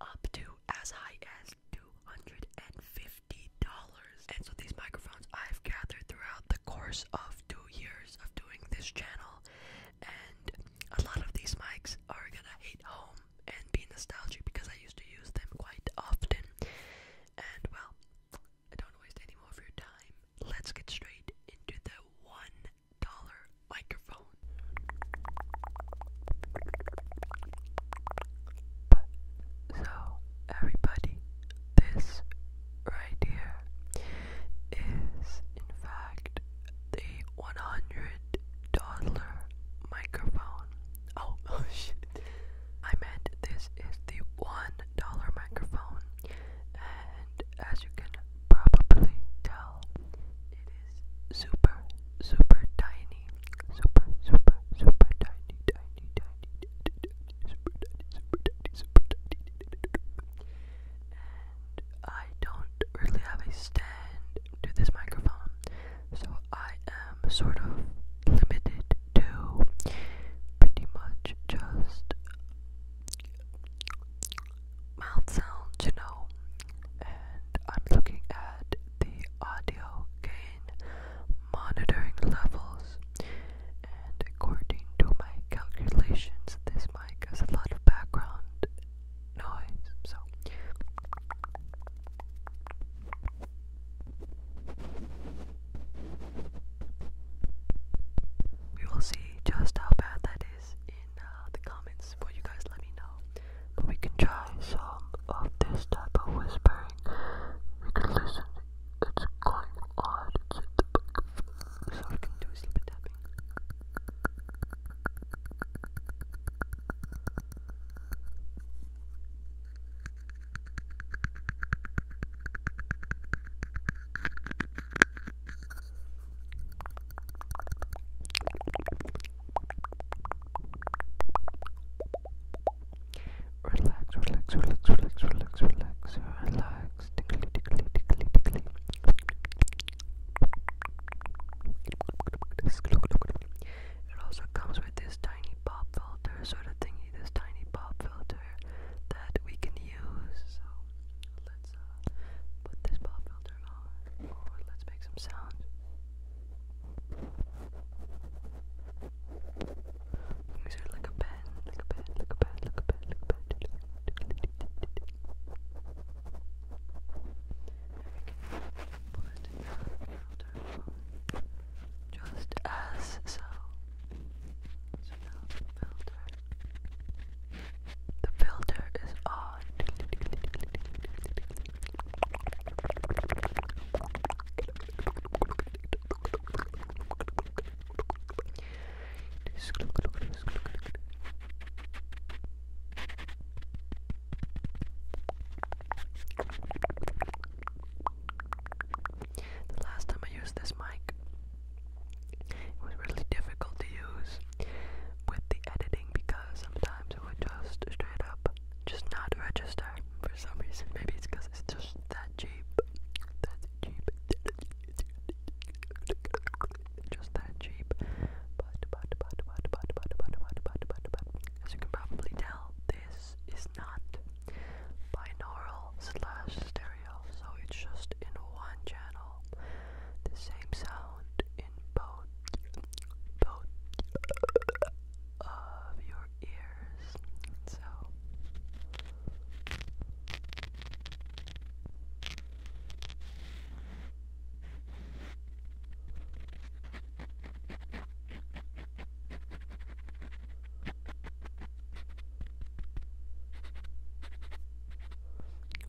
up to as high as $250. And so these microphones I've gathered throughout the course of two years of doing this channel. And a lot of these mics are gonna hit home and be nostalgic because I used to use them quite often. And well, I don't waste any more of your time. Let's get straight into the one dollar microphone. so everybody, this right here is in fact the one hundred dollar microphone. Oh, oh shit. I meant this is the one dollar microphone and as you can probably tell it is super, super tiny. Super, super, super tiny, tiny, tiny, tiny, tiny, super tiny, super tiny, super tiny. And I don't really have a stand to this microphone, so I am sort of limited to pretty much just mouth sounds, you know. And I'm looking at the audio gain monitoring levels. And according to my calculations, this mic has a lot of background noise. So. We will see just how bad that guys in uh, the comments. Will you guys let me know? But we can try some of this type of whispering. We can listen. It's going on. It's in the book. So we can do a little bit tapping. Relax, relax, relax, relax, relax, relax, relax. Tickly, tickly, tickly, tickly. It also comes with this tiny pop filter sort of thingy, this tiny pop filter that we can use. So let's uh, put this pop filter on, let's make some sounds. These are like a pen, like a pen, like a pen, like a pen, like a pen. Just as so. The filter is on. The last time I used this mic, it was really difficult to use with the editing because sometimes it would just straight up just not register for some reason. Maybe it's because it's just that cheap. That cheap. Just that cheap. But, but, but, but, but, but, but, but, but, but, but, as you can probably tell, this is not binaural slash stereo, so it's just in one channel the same sound in both both of your ears. So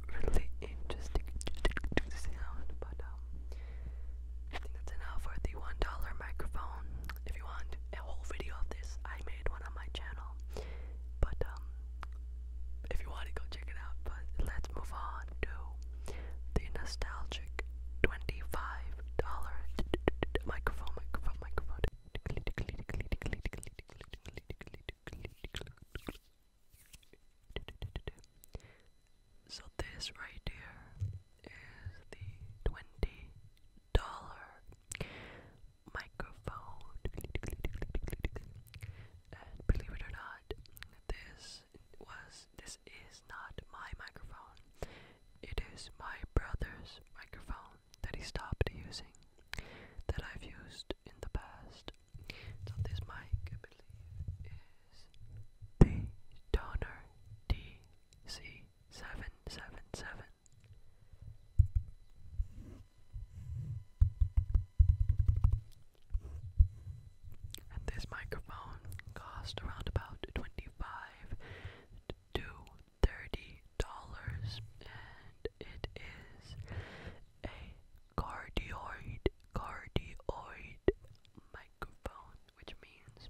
really interesting, interesting sound. But um, I think that's enough for the one dollar microphone. If you want a whole video of this, I made one on my channel. But um, if you want to go check it out. But let's move on to the nostalgic twenty-five dollar microphone, microphone, microphone. So this right here is the twenty dollar microphone. And believe it or not, this was this is not my microphone. It is my brother's microphone that he stopped using that I've used in the past. So this mic, I believe, is the Donor DC777. And this microphone cost around about twenty-five to thirty dollars, and it is a cardioid cardioid microphone, which means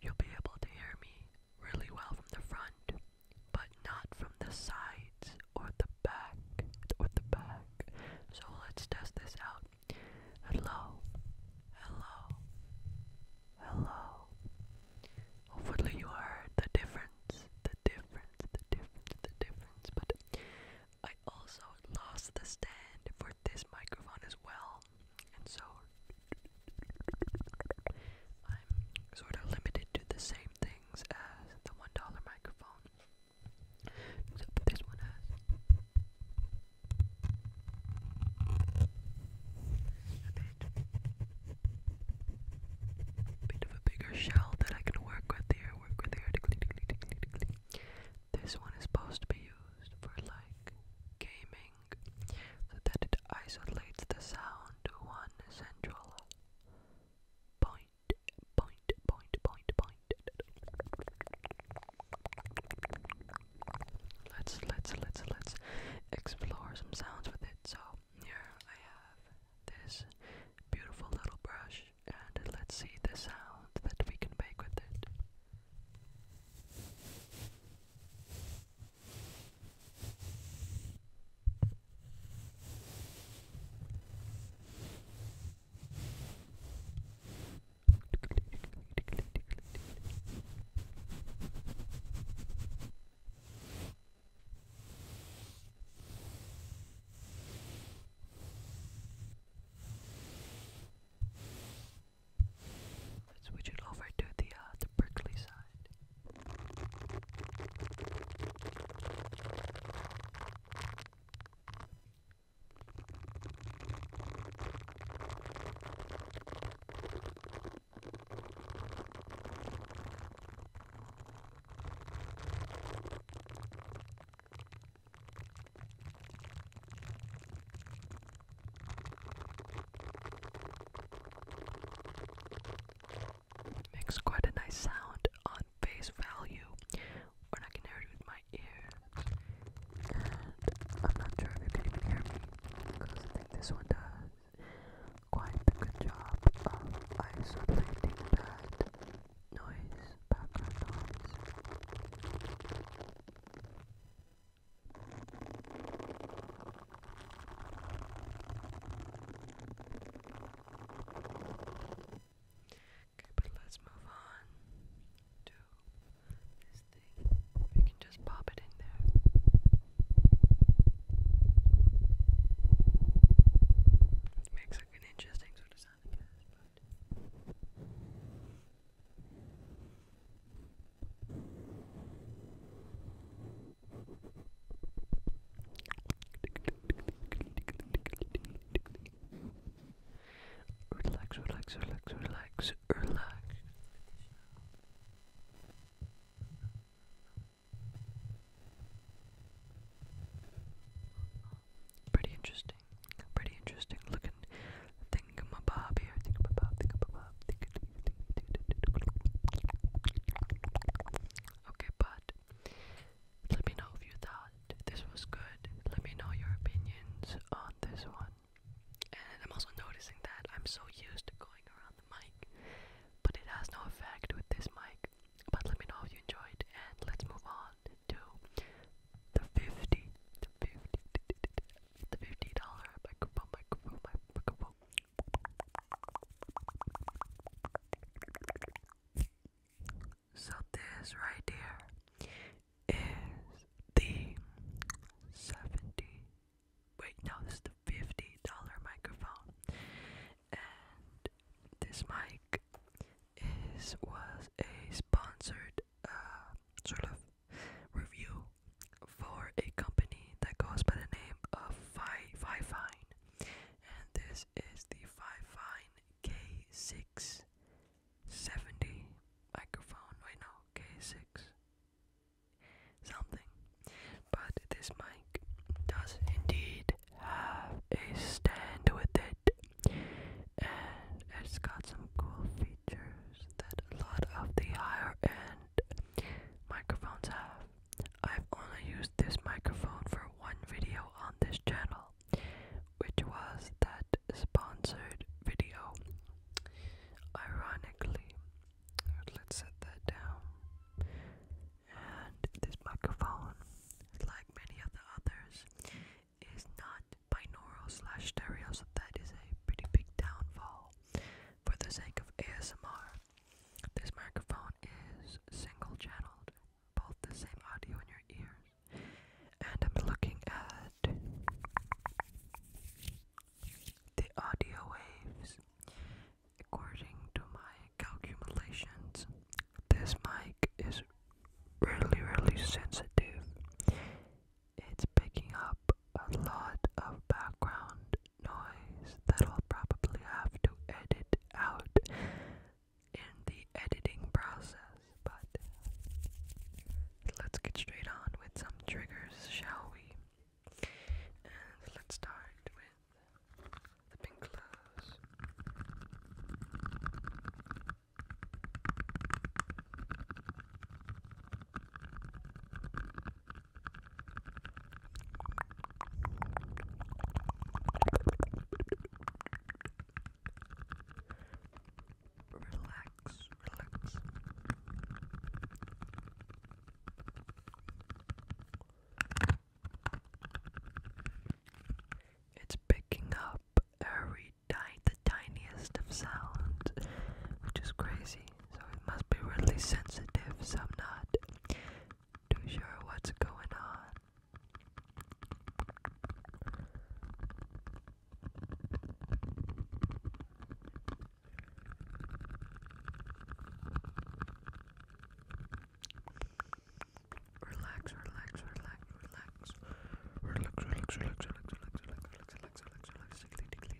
you'll be able to hear me really well from the front, but not from the sides or the back or the back. So let's test this out. Hello. Hello. Hello. Hopefully you heard the difference, the difference, the difference, the difference. But I also lost the stand for this microphone as well, and so I'm sort of limited to the same things as the one dollar microphone. Except this one has uh, a bit bit of a bigger shell that I can work with here, work with here. This one is supposed to be used for like gaming so that it isolates the sound to one central point, point, point, point, point. Let's let's let's let's explore some sounds with it. So here I have this beautiful little brush, and let's see the sound that we can make with it. Let's switch it over to the uh, the Berkeley side. Makes quite a nice sound on face value when I can hear it with my ears. I'm not sure if you can even hear me because I think this one does quite a good job of isolating that noise, background noise. Okay, but let's move on to this thing. We can just pop it in there. It makes like an interesting sort of sound, I guess, but. Relax, relax, relax, relax, relax. Pretty interesting. Pretty interesting looking thingamabob here. Thingamabob, thingamabob, thingamabob. Okay, but let me know if you thought this was good. Let me know your opinions on this one. And I'm also noticing that I'm so used to going around the mic, but it has no effect with this mic. But let me know if you enjoyed, and let's move on to the fifty, the fifty, the fifty dollar So this right here is the seventy. Wait, no, this $50 microphone. And this mic is was a sponsored uh, sort of review for a company that goes by the name of Five Five Fine. And this is the Five Fine K670 microphone. Wait no, K6 something. But this mic does indeed have a stand with it, and it's got some cool features that a lot of the higher end microphones have. I've only used this microphone for one video on this channel, which was that sponsored video. Ironically, let's set that down. And this microphone, like many of the others, is not binaural slash stereo, so that is a pretty big downfall for the sake of ASMR. This microphone is single channeled, both the same audio in your ear. And I'm looking at the audio waves According to my calculations, this mic is really, really sensitive. It's picking up a lot of background noise that I'll probably have to edit out in the editing process, but let's get straight on with some triggers, shall we? let's start with the pink clothes. Relax, relax. It's picking up every tiny, the tiniest of sounds, which is crazy. So it must be really sensitive. So I'm not too sure what's going on. Relax, relax, relax, relax. Relax, relax, relax, relax, relax, relax, relax, relax, relax.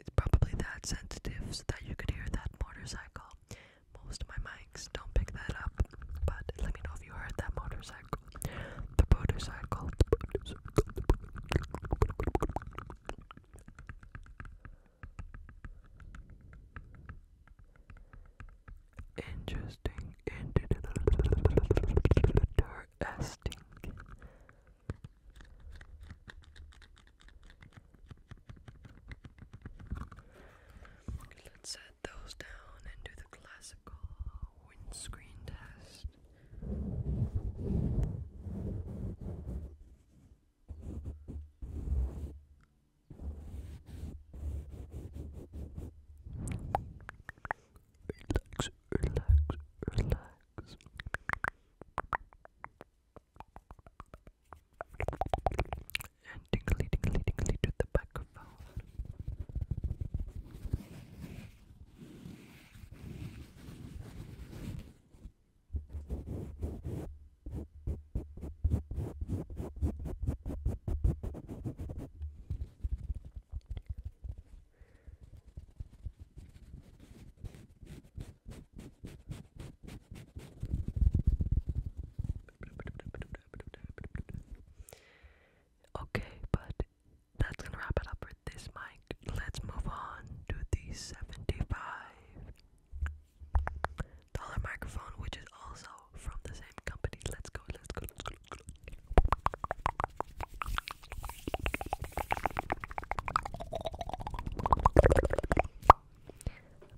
It's probably that sensitive so that you could hear that motorcycle. Most of my mics don't pick that up, but let me know if you heard that motorcycle. The motorcycle. Interesting, interesting. Let's set those down and do the classical windscreen test. Relax, relax, relax. And tingly, tingly, tingly to the microphone. Okay, but that's gonna wrap it up for this mic. Let's move on to the seventy-five dollar microphone, which is also from the same company. let's go, let's go.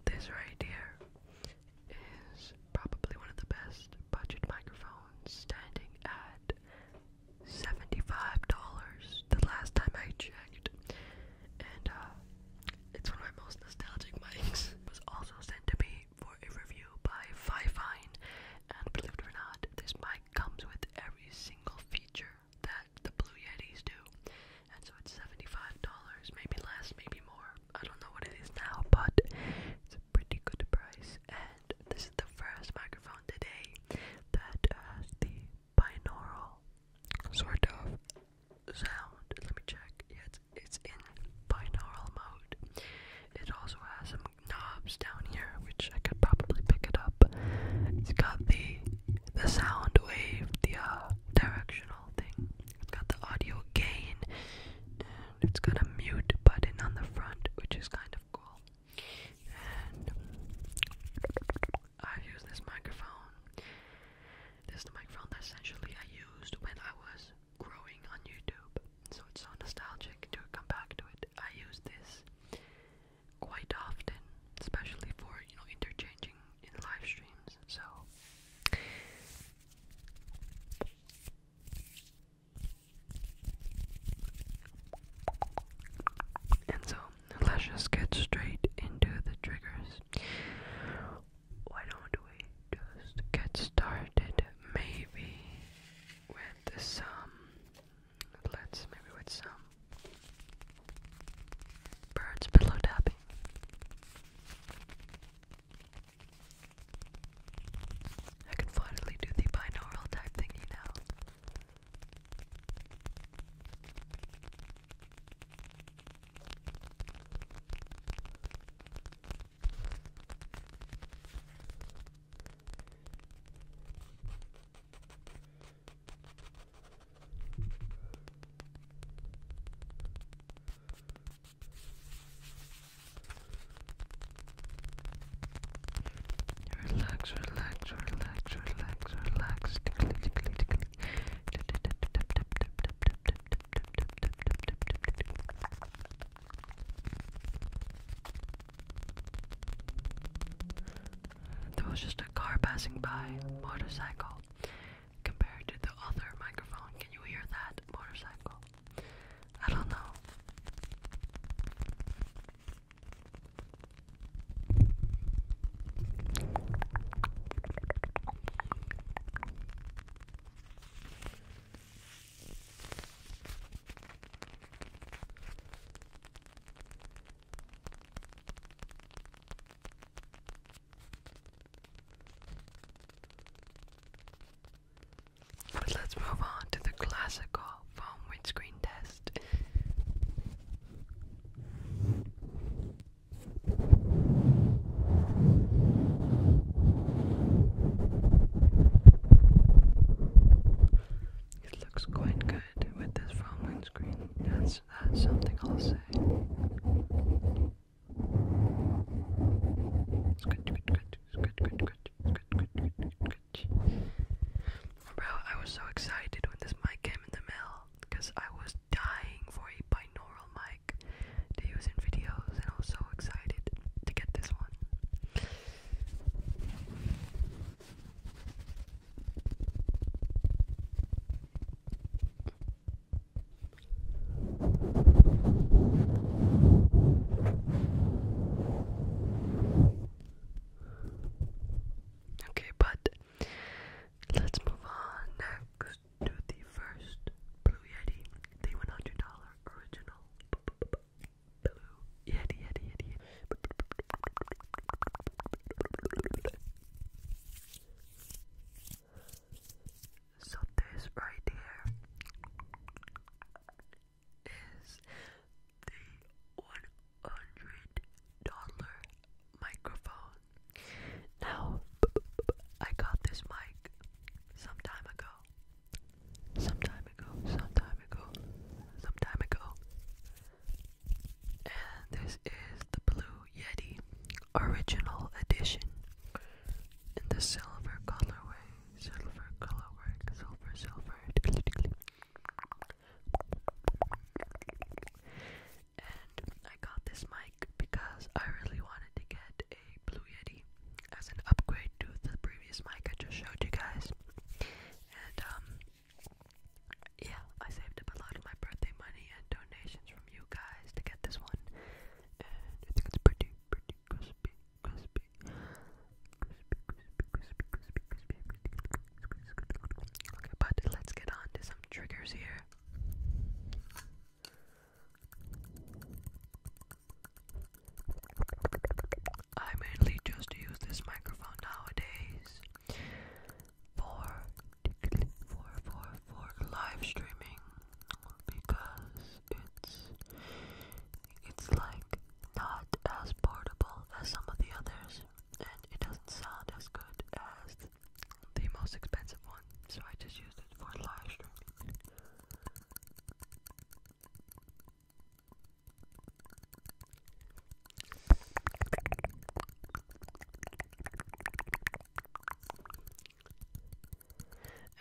This right here is probably one of the best budget microphones standing at $75 the last time I checked. And uh, it's one of my most nostalgic mics. was also sent to me for a review by Fifine. And believe it or not, this mic comes with every single feature that the Blue Yetis do. And so it's $75, maybe less, maybe more. I don't know what it is now, but it's a pretty good price. And this is the first microphone today that has the binaural sort of sound. Let me check. Yeah, it's, it's in binaural mode. It also has some knobs down here, which I could probably pick it up. It's got the the sound wave, the uh, directional thing. It's got the audio gain, it's got a mute button on the front, which is kind of cool. And I've used this microphone. This microphone essentially I used when I was growing on YouTube. So it's so nostalgic to come back to it. I used this quite often, especially for you know interchanging in live streams. So and so let's just get straight into the triggers. Why don't we just get started? Maybe with some. Let's maybe with some Birds pillow tapping. I can finally do the binaural type thingy now. Relax, relax, relax, relax, relax. Tickly, tickly, tickly. There was just a car passing by, motorcycle. Compared to the other microphone, can you hear that motorcycle? I don't know let's move on to the classical foam windscreen test. It looks quite good with this phone windscreen. That's that's something I'll say. Bro, I was so excited when this mic came in the mail because I was dying for a binaural mic to use in videos, and I was so excited to get this one. Okay, but let's move on next to the first Blue Yeti, the $100 original Blue Yeti, Yeti, Yeti, so this right here is the one hundred dollar microphone. Now I got this mic some time ago. Some time ago, some time ago, some time ago, and this is the Blue Yeti Original Edition in the silver colorway. Silver colorway. Silver, silver. And I got this mic because I really wanted to get a Blue Yeti as an upgrade to the previous mic I just showed you guys. And um yeah, I saved up a lot of my birthday money and donations from you guys to get this one. And I think it's pretty, pretty crispy, crispy. Crispy, crispy, crispy, crispy, crispy, crispy. Okay, but let's get on to some triggers here. I mainly just use this microphone nowadays for for for for live streaming because it's it's like not as portable as some of the others and it doesn't sound as good as the most expensive one so I just used it for live streaming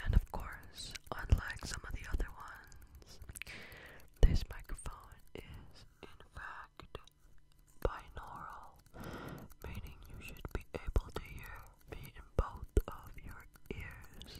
and of course, unlike some of the other ones, this microphone is in fact binaural, meaning you should be able to hear me in both of your ears.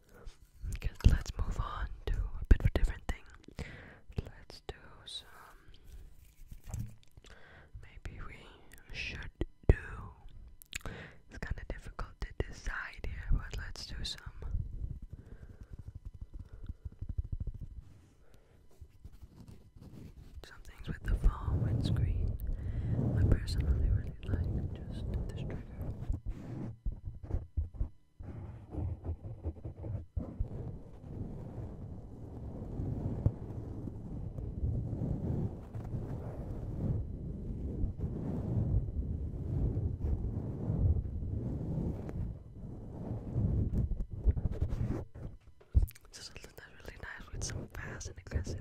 let's move on to a bit of a different thing. Let's do some. Maybe we should do. It's kind of difficult to decide here, but let's do some. Some things with the fall windscreen. I personally really like just this trigger. This is really nice with some fast and aggressive.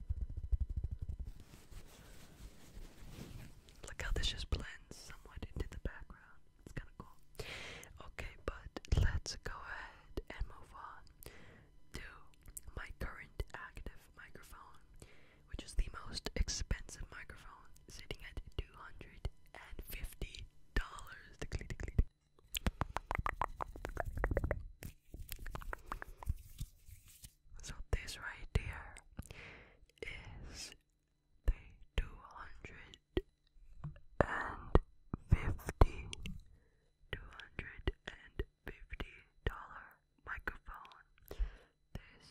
Look how this just blends somewhat into the background. It's kind of cool. Okay, but let's go ahead and move on to my current active microphone, which is the most expensive microphone, sitting at two hundred and fifty dollars. So this right here is the two hundred and fifty two hundred and fifty dollar microphone. This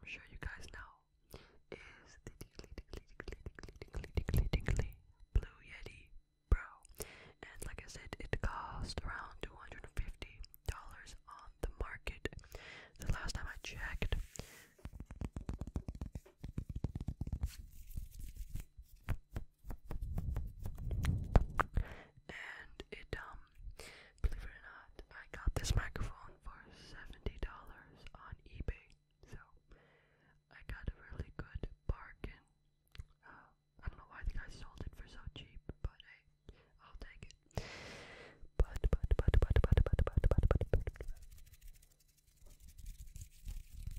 I'm sure you guys know is the tickly tickly tickly tickly tickly tickly tickly blue yeti Pro. And like I said, it cost around $250 on the market. The last time I checked. And it, um, believe it or not, I got this microphone for $70 on eBay. So, I got a really good bargain. Oh, I don't know why the guy sold it for so cheap, but hey, I'll take it. But, but, but, but, but, but, but, but, but, but, but,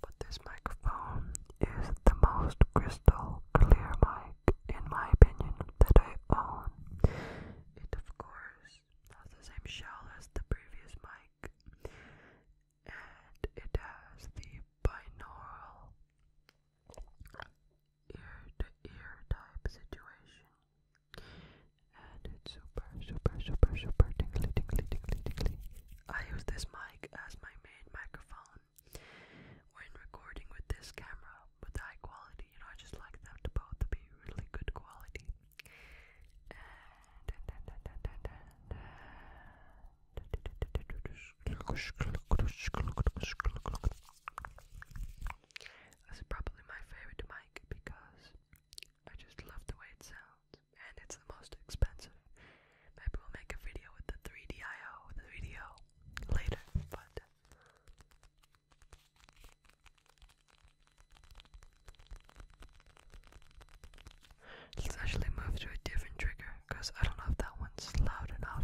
but this microphone is the most crystal clear mic, in my opinion, that I own. It, of course, has the same shell as the previous mic, and it has the binaural ear to ear type situation. And it's super, super, super, super tingly, tingly, tingly, tingly. I use this mic as my main microphone when recording with this camera with high quality. You I just like them to both to be really good quality. This is probably my favorite mic because I just love the way it sounds, and it's the most expensive. Maybe we'll make a video with the 3DIO, the video later, but. Let's actually move to a different trigger because I don't know if that one's loud enough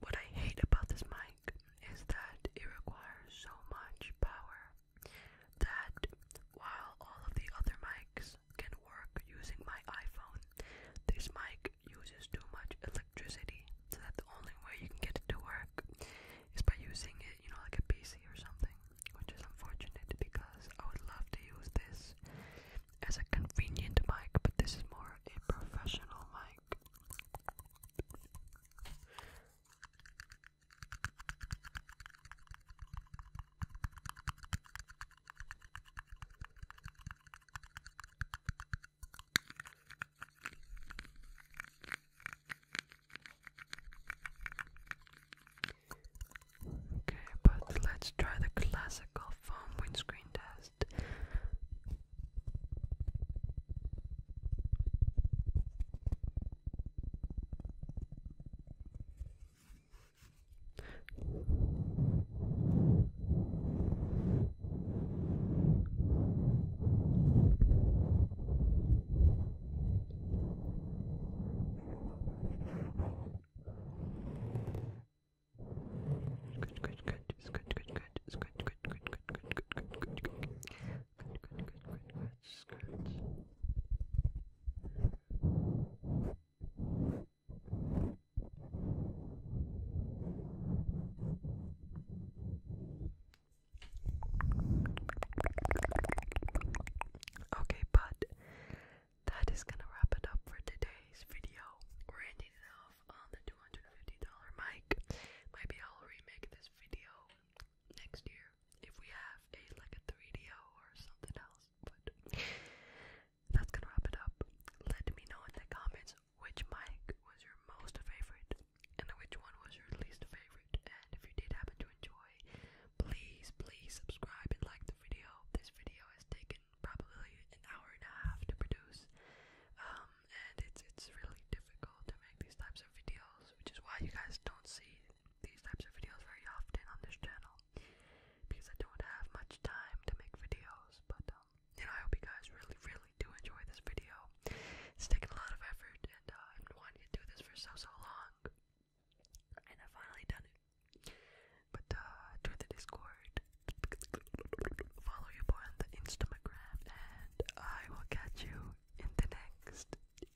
what I hate about this mic is that it requires so much power that while all of the other mics can work using my iPhone, this mic uses too much electricity so that the only way you can get it to work is by using it, you know, like a PC or something, which is unfortunate because I would love to use this as a convenient mic, but this is more a professional mic. Okay, but let's try the classical foam windscreen test. Good, good, good. It's good, good, good. It's good, good, good, good, good, good, good, good, good. Good, good, good, good, good. It's good. Okay, but that is gonna wrap it up for today's video. We're ending it off on the $250 mic. Maybe I'll remake this video next year if we have like a 3DO or something else. But that's gonna wrap it up. Let me know in the comments which mic was your most favorite and which one was your least favorite. And if you did happen to Please, please subscribe and like the video. This video has taken probably an hour and a half to produce, um, and it's it's really difficult to make these types of videos, which is why you guys don't see these types of videos very often on this channel because I don't have much time to make videos. But um, you know, I hope you guys really, really do enjoy this video. It's taken a lot of effort, and uh, I've been wanting to do this for so, so long. And i finally done it. But join uh, the Discord, follow your boy on the Instagram, and I will catch you in the next. In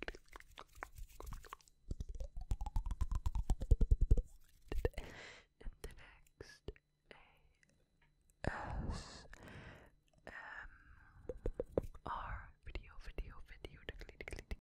the next video, video, video,